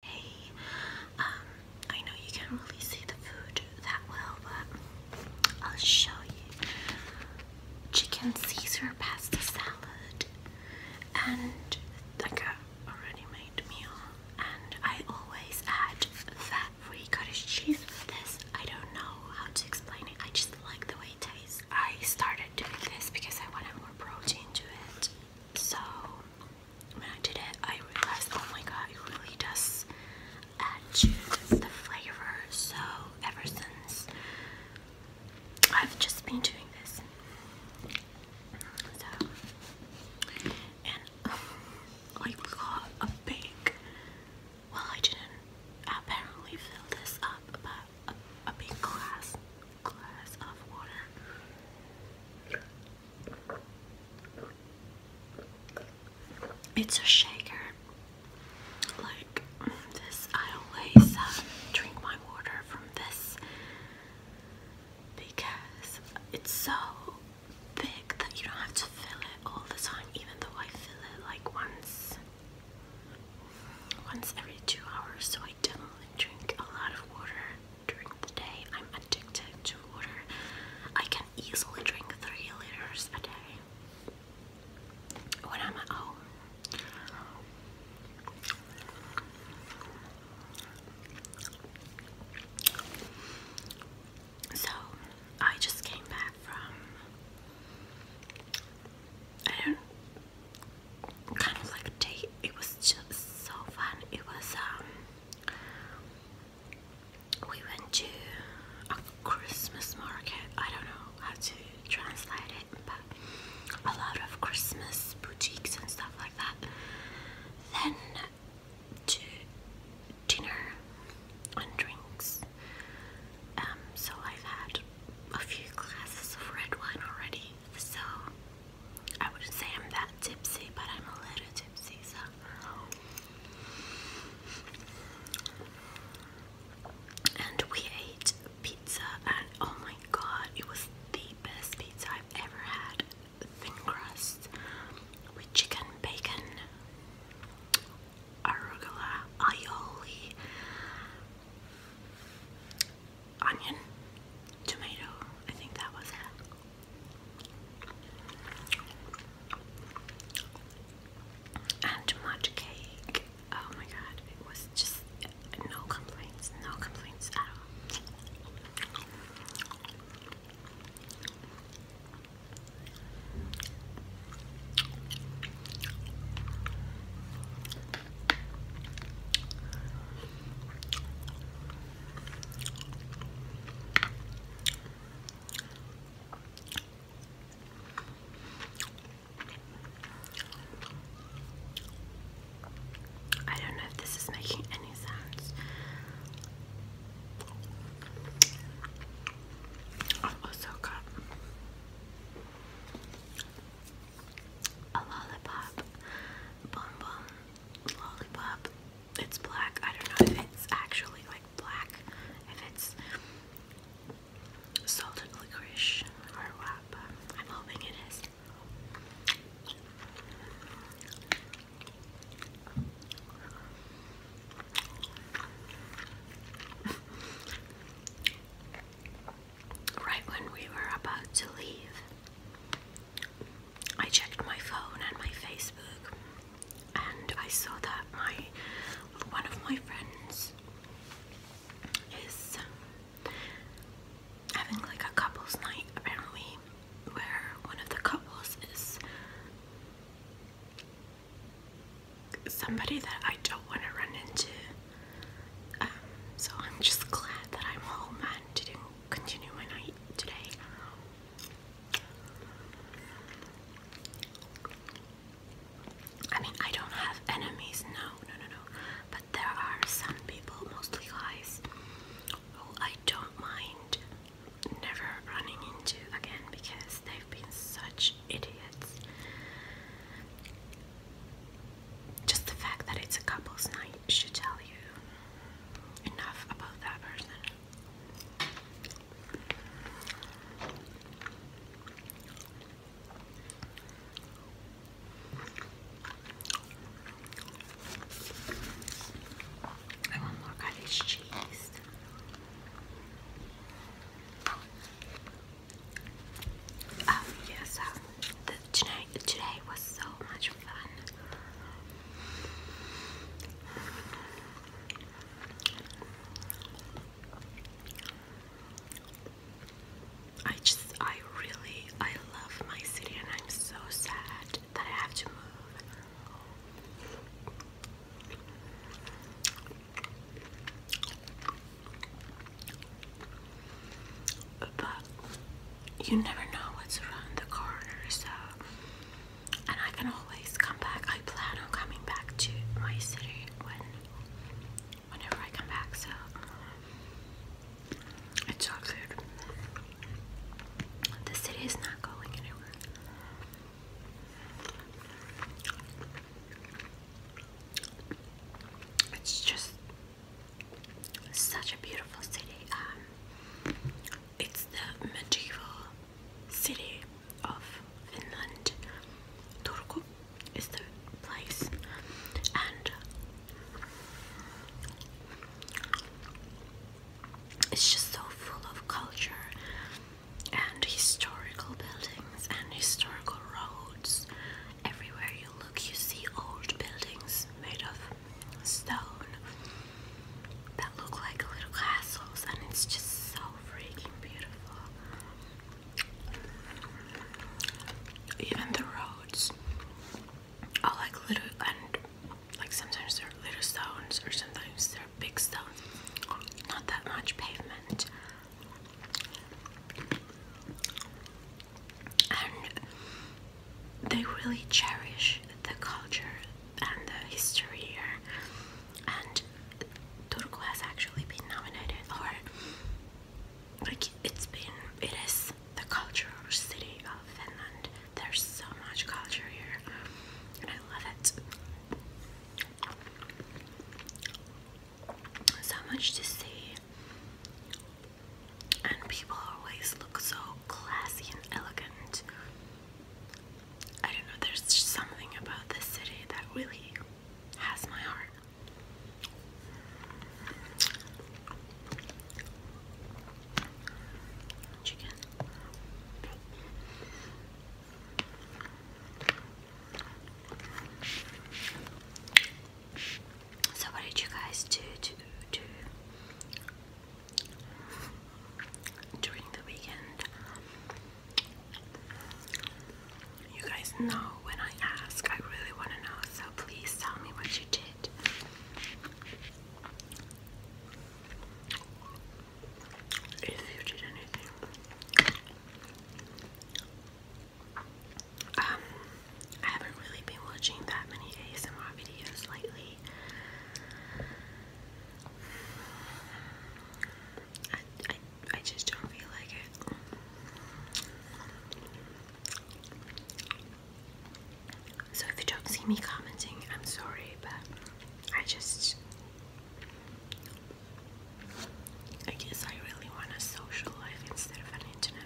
Hey, um, I know you can't really see the food that well, but I'll show you. Chicken Caesar pasta salad and like a already made meal. And I always add fat-free cottage cheese with this. I don't know how to explain it. I just like the way it tastes. I started doing this because I wanted more protein to it. So when I did it, I realized, oh my god, it really does add to the flavor. So ever since I've just been doing this, so and um, I got a big. Well, I didn't apparently fill this up, but a, a big glass it's a shaker. Like this, I always uh, drink my water from this because it's so big that you don't have to fill it all the time, even though I fill it like once once every two hours I definitely drink a lot of water during the day. I'm addicted to water. I can easily drink three liters a day when I'm at home. So I just came back from I don't kind of like tea. It was just so fun. It was um, we went to a Christmas market. I don't know how to translate it, but a lot of Christmas boutiques and stuff like that. Then to dinner and drinks. Um, so I've had a few glasses of red wine already. So I would not say I'm that tipsy, but I'm a little tipsy, so. And we ate pizza, and oh my god, it was the best pizza I've ever had. Thin crust with chicken, bacon, arugula, aioli, onion, tomato. I think that was it. And much cake. Oh my god, it was just no complaints, no complaints at all. I don't know if this is making any sounds. I've a lollipop bonbon lollipop. It's black. I don't know if it's actually like black, if it's salted licorice or what. I'm hoping it is. right when we were about to leave, I checked my phone and my Facebook, and I saw that my one of my friends is um, having like a couples night apparently, where one of the couples is somebody that I don't want to run into so I'm just glad that I'm home and did continue my night today. I mean, I don't have enemies, no, no, no, no. But there are some people, mostly guys, I don't mind never running into again because they've been such idiots just the fact that it's a couple's night should tell you enough about that person. I want more cottage cheese. Oh, yes, um, Tonight, today was so much fun. I just, I really, I love my city and I'm so sad that I have to move but you never know what's around the corner, so and I can always come back. I plan on coming back to my city when whenever I come back, so it's all good. The city is not going anywhere. It's just such a beautiful city. Um, it's the medieval city of Finland. Turku is the place, and it's just so full of culture and historical buildings and historical roads Everywhere you look, you see old buildings made of stone that look like little castles, and it's just so freaking beautiful. Even the roads are like little, and like sometimes they're little stones, or sometimes they're big stones, not that much pavement and they really cherish the culture and the history here. And Turku has actually been nominated, or like it's been, it is the cultural city of Finland. There's so much culture here, and I love it so much to see, and people always look so classy and elegant. I don't know, there's something about this city that really has my heart. Chicken. So what did you guys do to do during the weekend? You guys know when I ask, I really want to know, so please tell me what you did. If you did anything. Um, I haven't really been watching that many ASMR videos lately. I, I just don't feel like it. So if you don't see me commenting, I'm sorry, but I just. I guess I really want a social life instead of an internet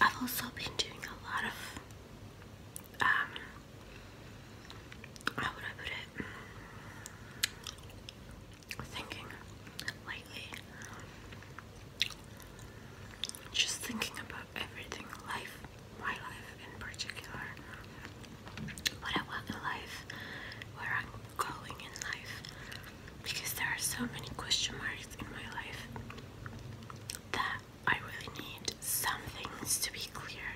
I've also been doing a lot of um, how would I put it? Thinking lately. Just thinking about everything, life, my life in particular. What I want in life, where I'm going in life. Because there are so many question marks in my life that I really need some things to be clear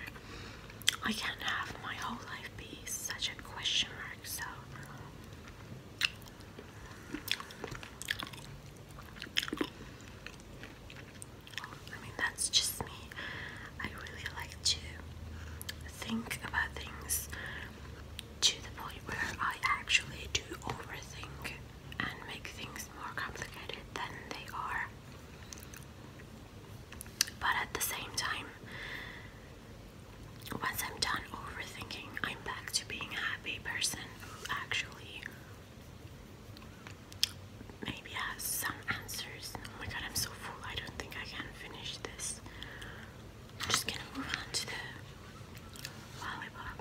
I can't have my whole life be such a question mark, so I mean, that's just me. I really like to think about things to the point where I actually do overthink and make things more complicated than they are. But at the same time, once I'm done overthinking, I'm back to being a happy person actually maybe has some answers. Oh my god, I'm so full. I don't think I can finish this. I'm just gonna move on to the lollipop.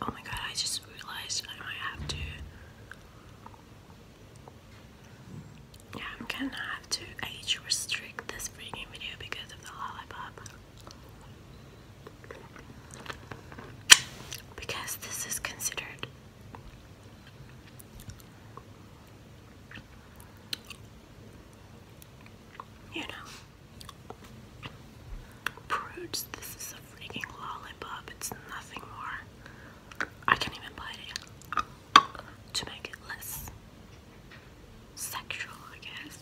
Oh my god, I just realized I might have to. Yeah, I'm gonna have to age restrict this freaking video because of the lollipop. Because this is considered you know, prudes, this is a freaking lollipop, it's nothing more. I can even bite it to make it less sexual, I guess.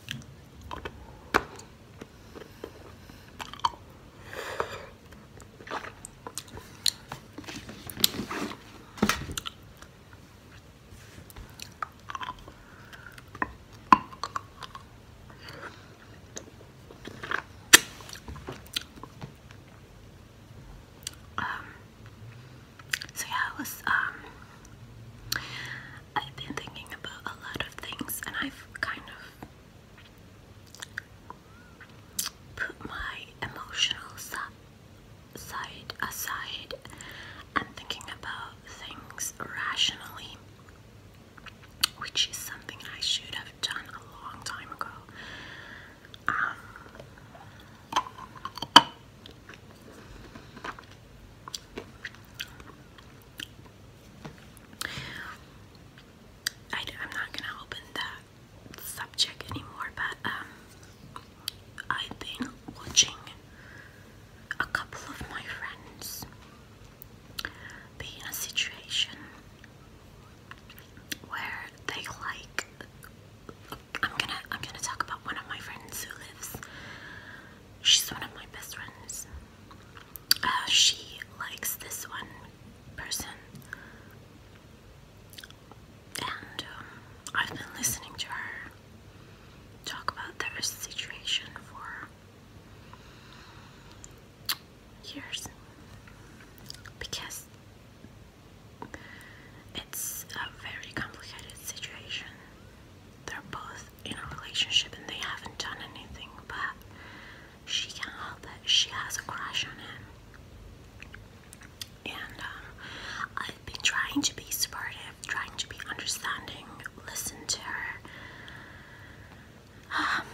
Um, so yeah, I was, um, I've been thinking about a lot of things and I've kind of put my emotional side side aside and thinking about things rationally, which is something I should have done a long time ago. Um, I'm not gonna open that subject anymore, but um, I've been watching a couple of my friends be in a situation where they like. I'm gonna I'm gonna talk about one of my friends who lives. She's one of my best friends. Uh, she likes this one person and um, I've been listening to her talk about their situation for years because it's a very complicated situation. They're both in a relationship and they haven't done anything, but she can't help it. She has a crush on him. And um, I've been trying to be supportive, trying to be understanding, listen to her. Um,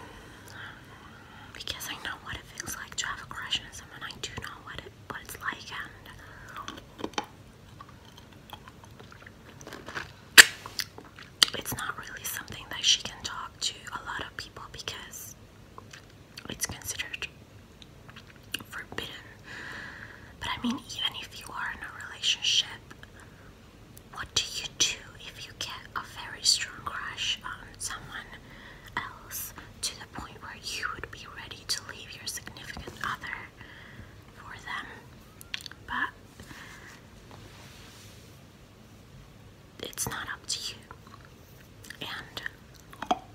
because I know what it feels like to have a crush on someone, I do know what it what it's like, and it's not really something that she can talk to a lot of people because it's considered forbidden. But I mean, even if you are in a relationship, what do you do if you get a very strong crush on someone else to the point where you would be ready to leave your significant other for them? But it's not up to you. And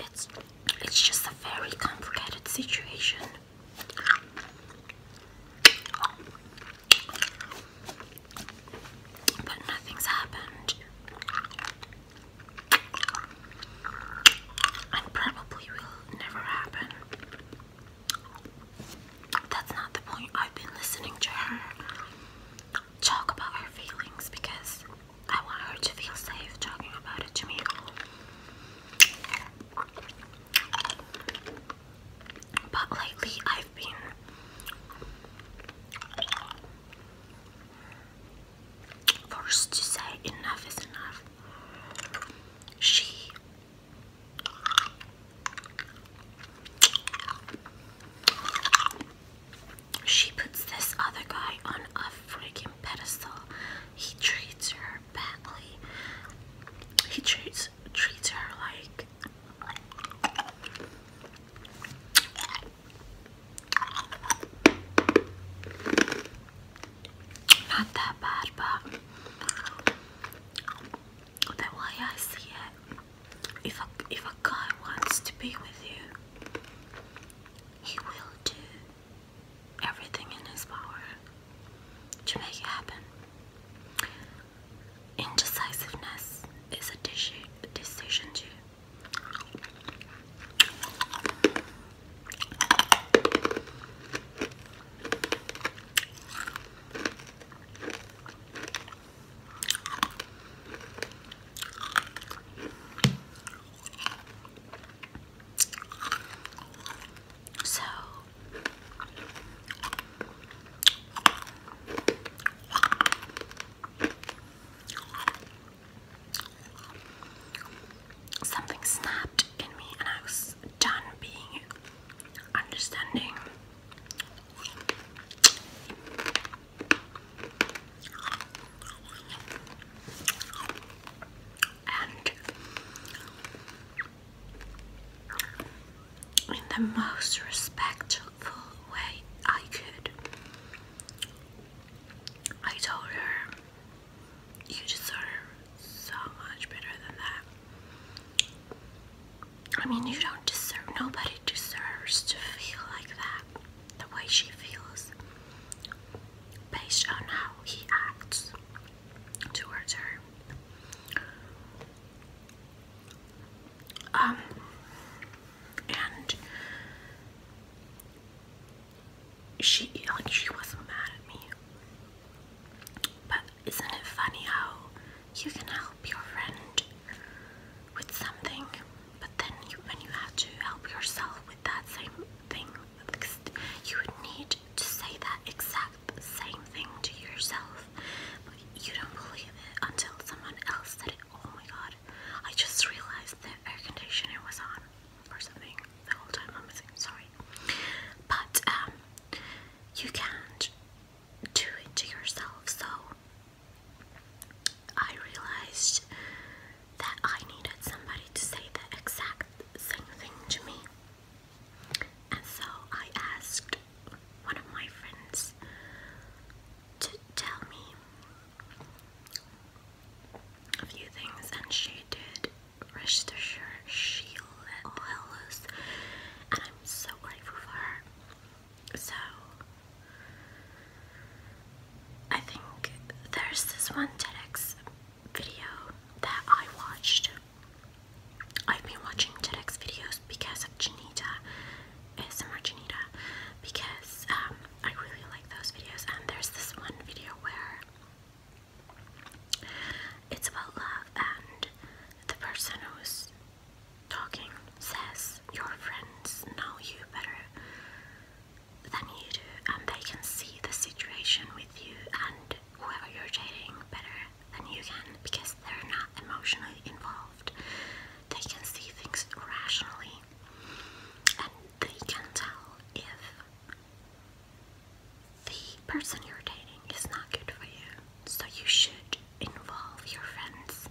it's it's just a very complicated situation. But nothing's happened. And probably will never happen. That's not the point. I've been listening to her talk about her feelings because I want her to feel safe talking about it to me. But lately, I've been. Forced to say enough is enough. She she puts this other guy on a freaking pedestal. He treats her badly. He treats treats her like not that bad, but the way I see it, if a, if a guy wants to be with you, he will do everything in his power to make it happen. Indecisiveness is a deci decision to so something snapped in me and I was done being understanding. And in the most respectful way I could, I told her, You deserve so much better than that. I mean, you don't deserve, nobody deserves to feel like that, the way she feels, based on how he acts towards her. Um, and she, like, she wasn't mad at me, but isn't it funny how you can help your friend with something, but then when you have to help yourself with that same thing, you would need to say that exact same thing to yourself, but you don't believe it until someone else said it. Oh my god, I just realized the air conditioner was on or something the whole time I'm missing, sorry. But, um, you can't do it to yourself. So I realized that I needed somebody to say the exact same thing to me. And so I asked one of my friends to tell me a few things, and she did. Register Shield Hellas, and I'm I'm so grateful for her. So, I think there's this one TEDx video that I watched. I've been watching TEDx videos because of Janita, ASMR Janita, because um, I really like those videos. And there's this one video where it's about love, and the person who's talking says your friends know you better than you do and they can see the situation with you and whoever you're dating better than you can because they're not emotionally involved. They can see things rationally and they can tell if the person you're dating is not good for you. So you should involve your friends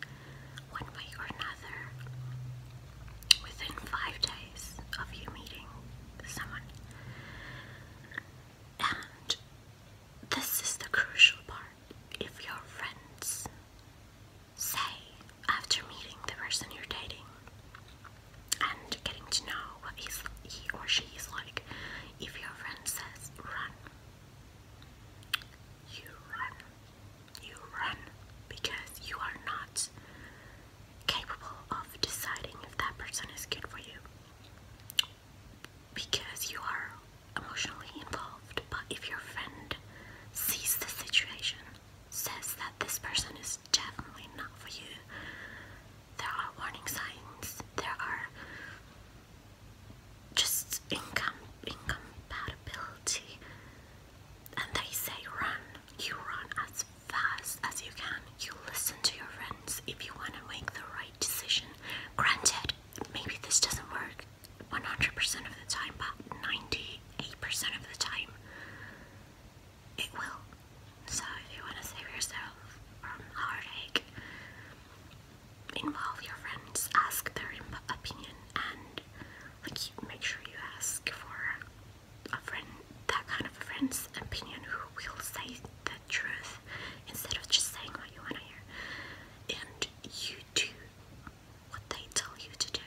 one way or another within five days of you meeting someone. And this is the crucial part. If your friends say after meeting the person you're dating and getting to know what he's, he or she is like, if your friend says run, you run. You run because you are not capable of deciding if that person is good for you because you are emotionally involved. But if your friend sees the situation, says that this person is definitely not for you, there are warning signs, there are just incom incompatibility, and they say run. You run as fast as you can. You listen to your friends if you want to make the right decision. Granted, maybe this doesn't work 100% of the time, but 98% of the time it will. So if you want to save yourself from heartache, involve your friends, ask their opinion, and make sure you ask for a friend, that kind of a friend's opinion who will say the truth instead of just saying what you want to hear. And you do what they tell you to do.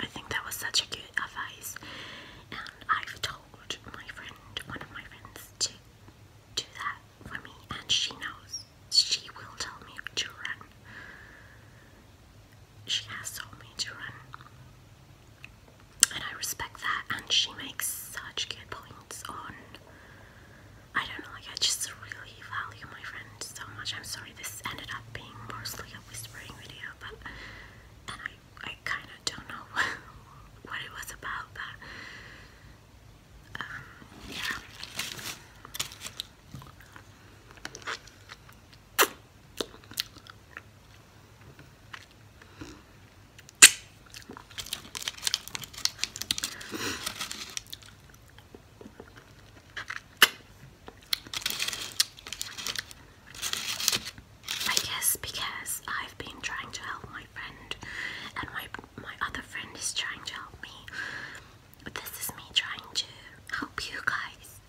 I think that was such a good advice, and I've told my friend, one of my friends, to do that for me, and she knows. She will tell me to run. She has told me to run. And I respect that, and she makes such good points on. I don't know, like, I just really value my friend so much. I'm sorry this ended up being mostly a whispering video, but. I kind of don't know what it was about, but um, yeah. I guess because I've been trying to help my friend, and my my other friend is trying to help me. But this is me trying to help you guys.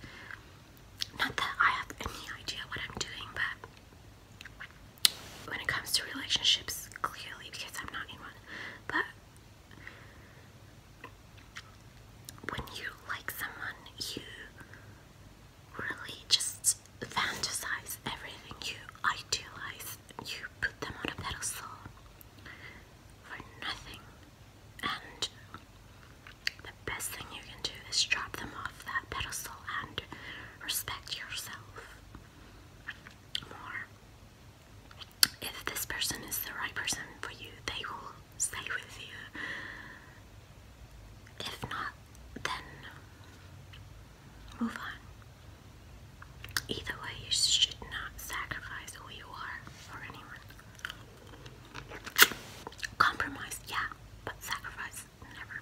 Not that I have any idea what I'm doing, but when it comes to relationships, clearly because I'm not in one. But when you like someone, you really just fantasize everything you idealize, you put them on a pedestal for nothing, and the best thing you can do is drop them off that pedestal and respect yourself more. If this person is the right person for you, they will stay with you if not, then move on. Either way, you should not sacrifice who you are for anyone. Compromise, yeah, but sacrifice, never.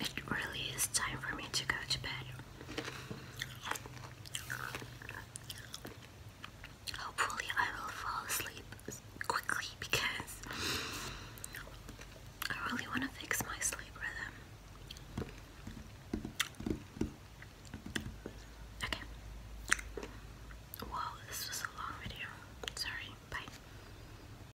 It really is time for me to go to bed. Hopefully, I will fall asleep quickly because I really want to fix my sleep rhythm. Okay. Wow, this was a long video. Sorry. Bye.